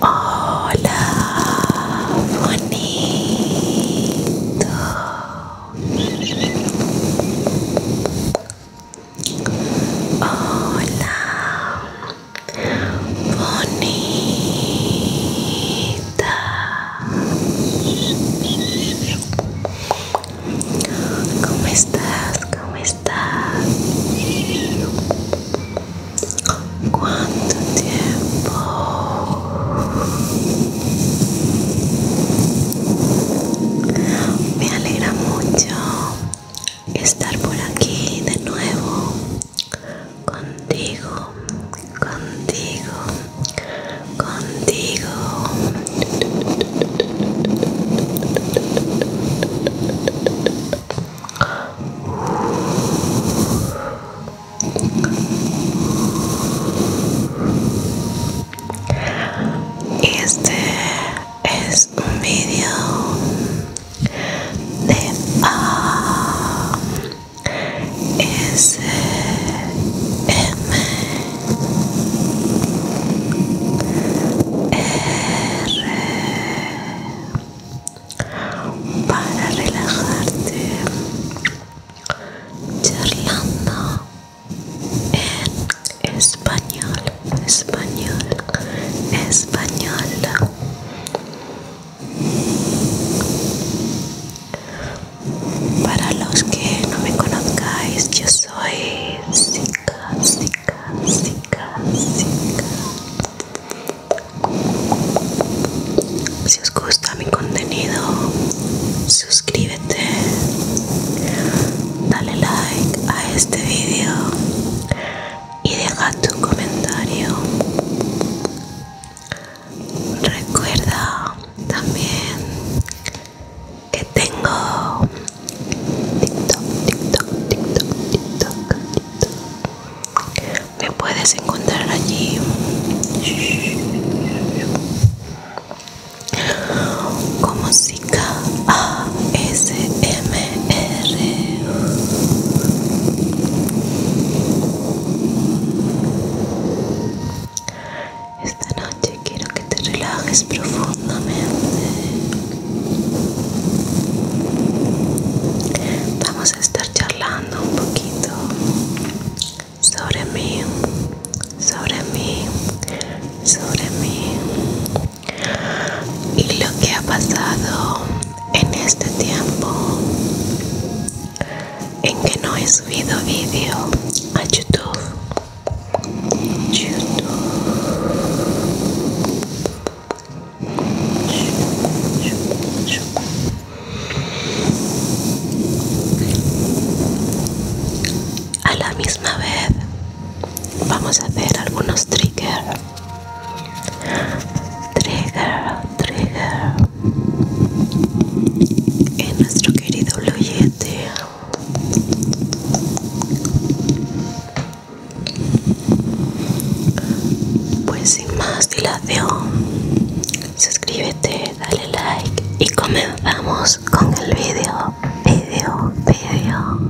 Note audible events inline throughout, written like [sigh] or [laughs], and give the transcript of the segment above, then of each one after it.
Hola, bonito. Hola, bonita. ¿Cómo estás? ¿Cómo estás? ¿Cuánto tiempo? Me alegra mucho estar por aquí de nuevo contigo, contigo, contigo. Este es un video de A S M R para relajarte charlando en español español español para los que no me conozcáis yo soy Zika si os gusta mi contenido, suscríbete, dale like a este vídeo y deja tu comentario. Recuerda también que tengo TikTok, TikTok, TikTok, TikTok, TikTok. Me puedes encontrar allí como M r Esta noche quiero que te relajes profundamente. Vamos a estar charlando un poquito sobre mí, sobre mí, sobre mí y lo que ha pasado en este tiempo en que no he subido vídeo a YouTube. YouTube. A la misma vez vamos a hacer algunos triggers. Trigger, trigger. En nuestro querido Blue pues sin más dilación, suscríbete, dale like y comenzamos con el video, video, video.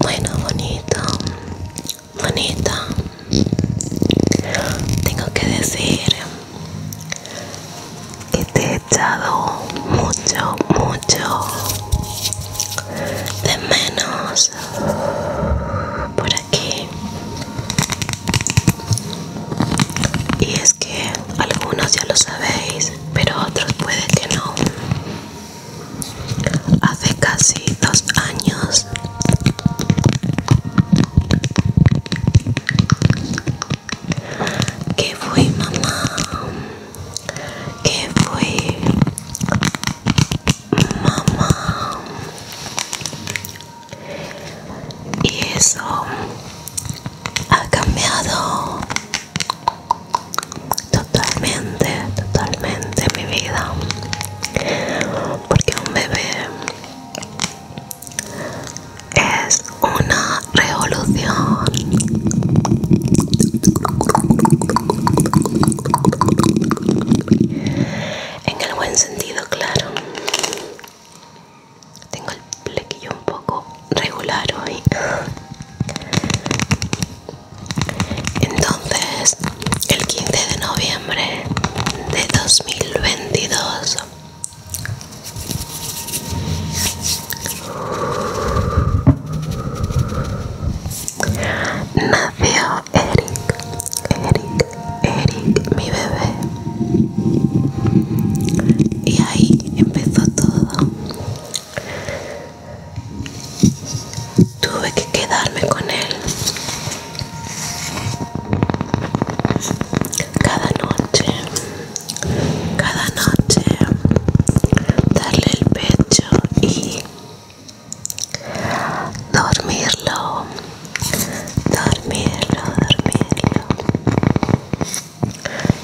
Bueno, bonito, bonito Tengo que decir que te he echado mucho, mucho de menos por aquí. Y es que algunos ya lo sabéis, pero otros puede que no hace casi dos años que fui mamá que fui mamá y eso ha cambiado Totalmente, totalmente mi vida. Porque un bebé es una revolución. En el buen sentido, claro. Tengo el plequillo un poco regular hoy entonces el 15 de noviembre de 2022 nació Eric Eric Eric mi bebé y ahí empezó todo Tuve que quedarme con él. Cada noche, cada noche, darle el pecho y dormirlo, dormirlo, dormirlo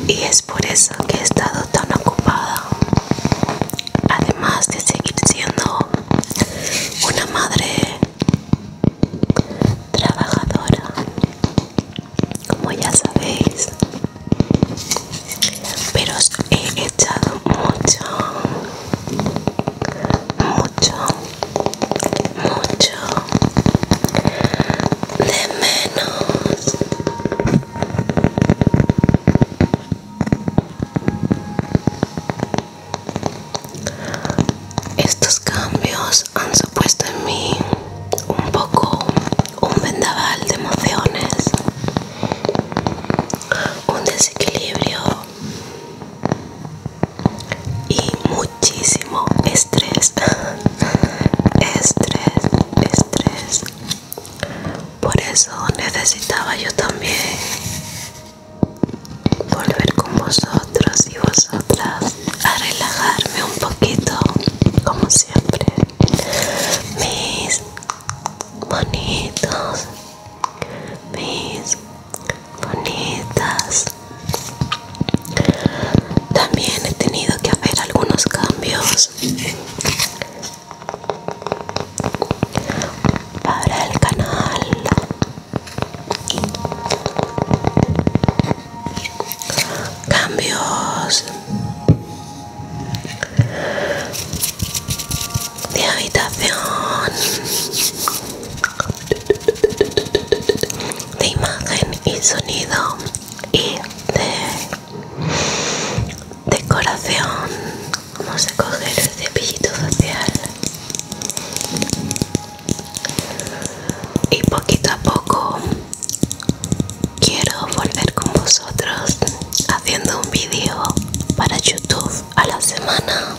y es por eso que he estado tan ocupada además de seguir siendo una madre trabajadora como ya sabéis pero os he echado mucho mucho mucho de menos estos cambios han supuesto en mí un poco un vendaval de emociones, un desequilibrio y muchísimo estrés. [laughs] Estrés estrés por eso necesitaba yo también volver con vosotros y vosotras a relajarme un poquito como siempre mis bonitos mis bonitas también he tenido que hacer algunos cambios para el canal cambios de habitación de imagen y sonido y de decoración vamos a coger el cepillito facial y poquito a poco quiero volver con vosotros haciendo un vídeo para youtube a la semana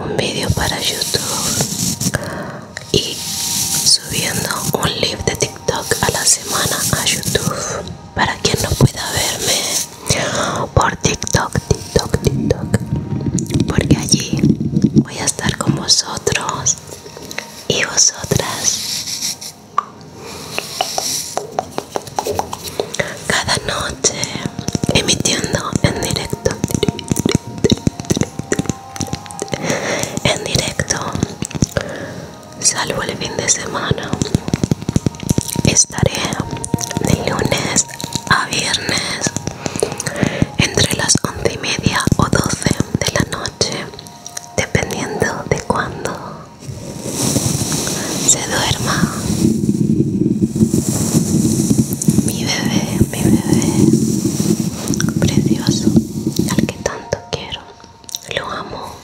un vídeo para youtube y subiendo un live de TikTok a la semana a YouTube. Para quien no pueda verme por TikTok, TikTok, TikTok. Porque allí voy a estar con vosotros y vosotras. Cada noche emitiendo en directo en directo salvo el fin de semana estaré de lunes a viernes entre las once y media o doce de la noche dependiendo de cuándo se duerma mi bebé mi bebé precioso al que tanto quiero lo amo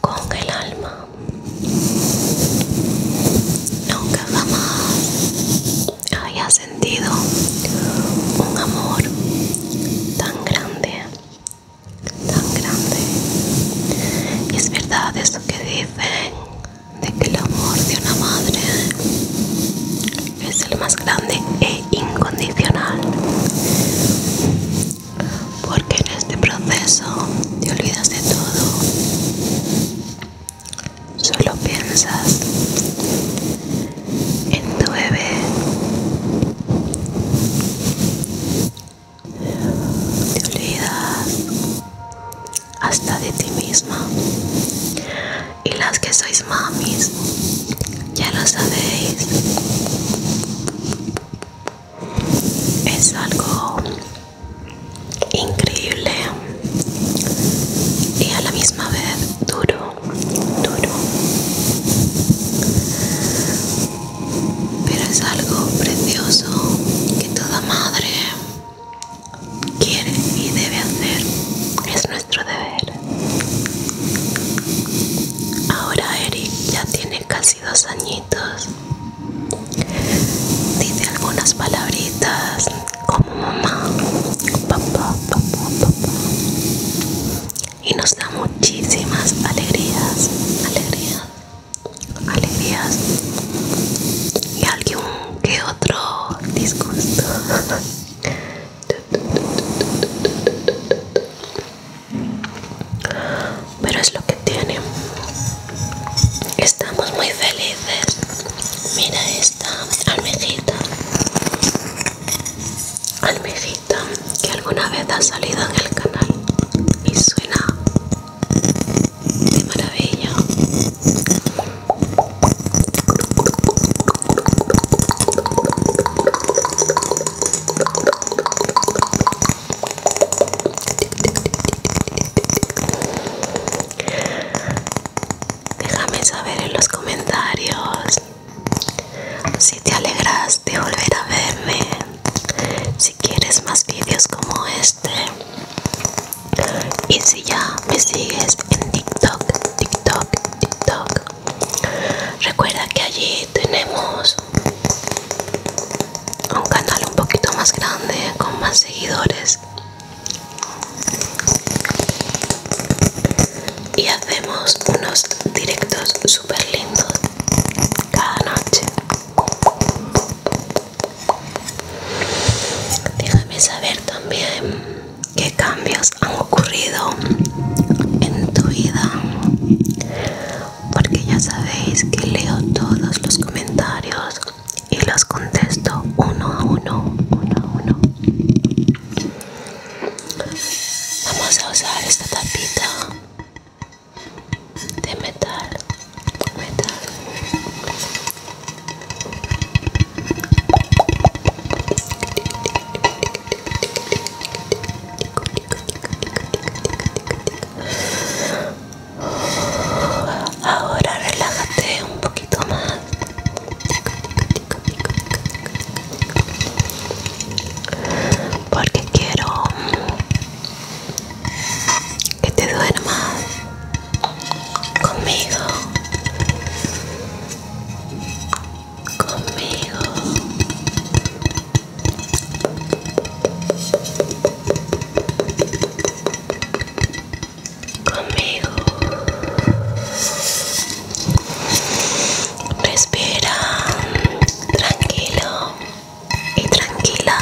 con el alma nunca jamás haya sentido un amor tan grande tan grande es verdad eso que dicen de que el amor de una madre es el más grande e incondicional porque en este proceso te olvidas de todo solo piensas en tu bebé te olvidas hasta de ti misma. Y las que sois mamis, ya lo sabéis. Es algo increíble y a la misma vez duro, duro. Pero es algo precioso que toda madre quiere y debe hacer. Es nuestro deber. Ahora Eric ya tiene casi dos añitos. Dice algunas palabritas como mamá, papá, papá, papá. Y nos da muchísimas alegrías, alegrías, alegrías. Y alguien qué otro disgusto pero es lo que tiene estamos muy felices mira esta almejita almejita que alguna vez ha salido en el canal y suena de maravilla déjame saber en los comentarios si te alegras de volver a verme si quieres más vídeos como este este, y si ya me sigues en tiktok tiktok tiktok recuerda que allí tenemos un canal un poquito más grande con más seguidores y hacemos unos directos super lindos cada noche Déjame saber también qué cambios han ocurrido en tu vida, porque ya sabéis que leo todos los comentarios y los contesto uno a uno, Vamos a usar esta tapita de metal Ahora relájate un poquito más. Porque quiero que te duermas conmigo conmigo conmigo respira tranquilo y tranquila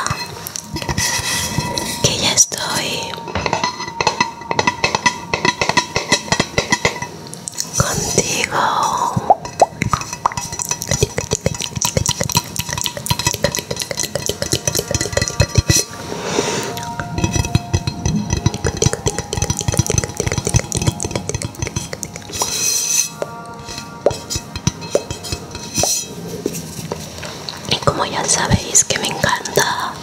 que ya estoy contigo y como ya sabéis que me encanta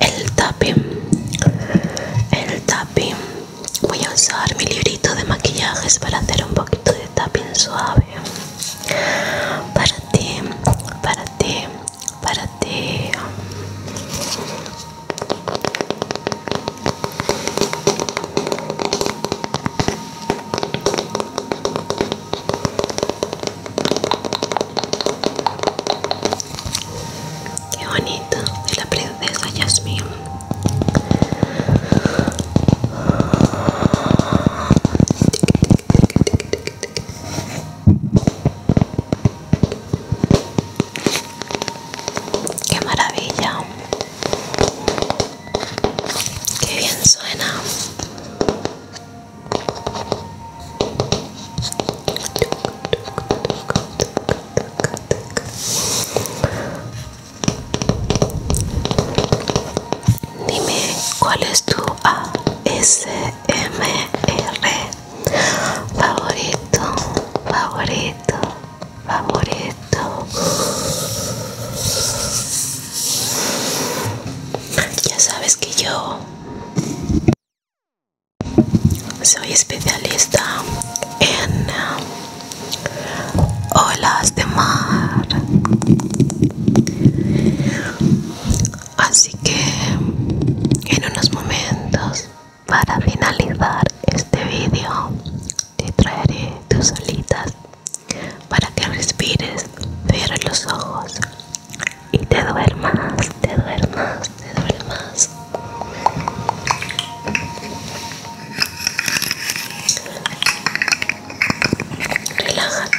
el tapping el tapping voy a usar mi librito de maquillajes para hacer un poquito de tapping suave para ti para ti para ti Qué bonito de la princesa Jasmine. Qué maravilla. Qué bien suena. Dime cuál es tu ASMR favorito, favorito, favorito. Ya sabes que yo soy especialista en um, olas de mar. Así que en unos momentos para finalizar este vídeo te traeré tus olitas para que respires, cierra los ojos y te duermas, te duermas, te duermas. Relájate.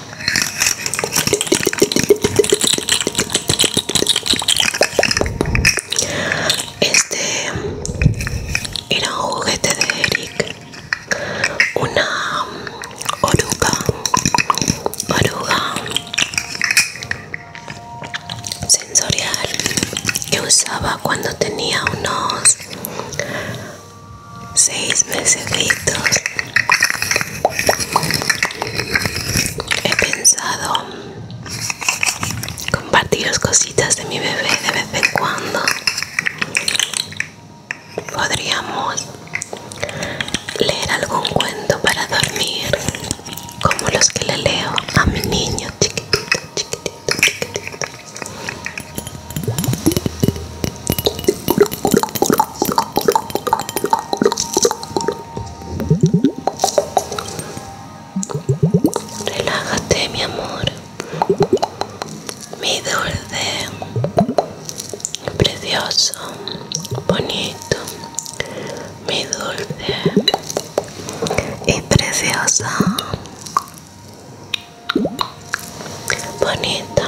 Este era un juguete de Eric, una oruga, oruga sensorial que usaba cuando tenía unos seis meses he pensado Compartir las cositas de mi bebé de vez en cuando podríamos leer algún cuento para dormir como los que le leo a mi niño chiquitito chiquitito chiquitito Relájate, mi amor. Mi dulce. Precioso. Bonito. Mi dulce. Y preciosa. Bonita.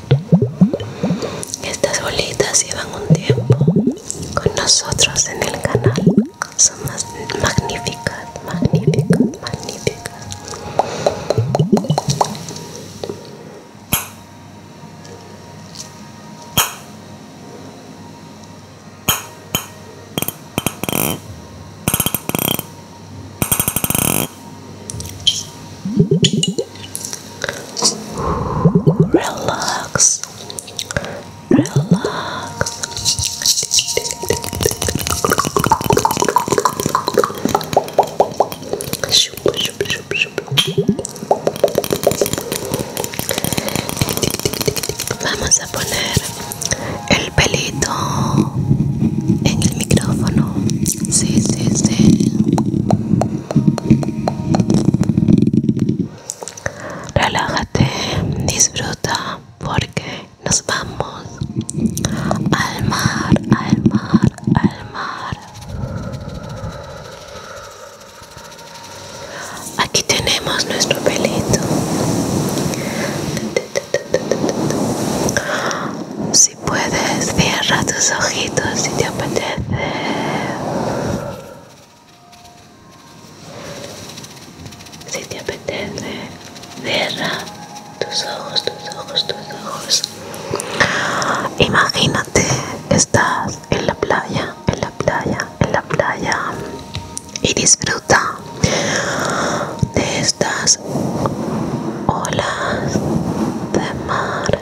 Estas bolitas llevan un tiempo con nosotros en el canal. Son más magníficas, magníficas, magníficas. Relax. Relax. Vamos a poner el pelito en el micrófono. Sí, sí, sí. Relájate, disfruta porque nos vamos al mar, al mar, al mar. Aquí tenemos nuestro pelito. Si puedes, cierra tus ojitos si te apetece. Si te apetece, cierra tus ojos, tus ojos, tus ojos. Imagínate que estás en la playa, en la playa, en la playa y disfruta de estas olas de mar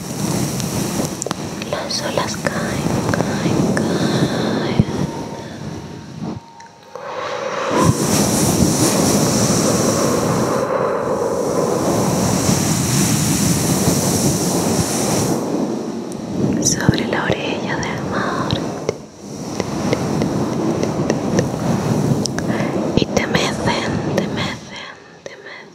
Las olas caen, caen, caen. Sobre la orilla del mar y te mecen, te mecen, te mecen.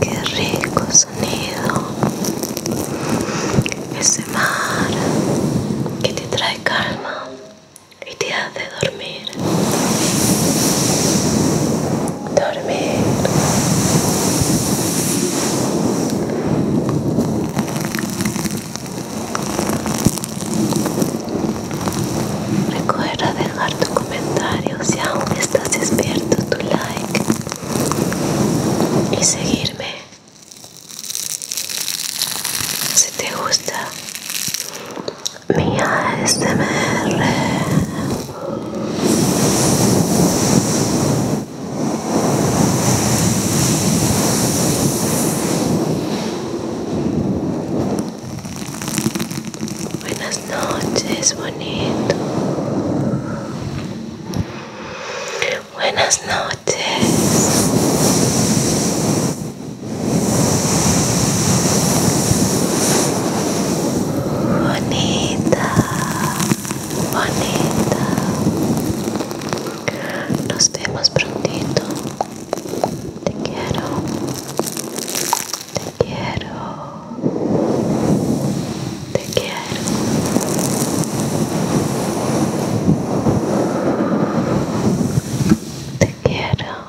Qué rico sonido. Ese mar que te trae calma y te hace dormir. Dormir. Recuerda dejar tu comentario si aún estás despierto, tu like y seguirme. Si te gusta mi ASMR. Buenas noches, bonito. Buenas noches. Bonita, bonita. Nos vemos prontito. Te quiero. Te quiero. Te quiero. Te quiero.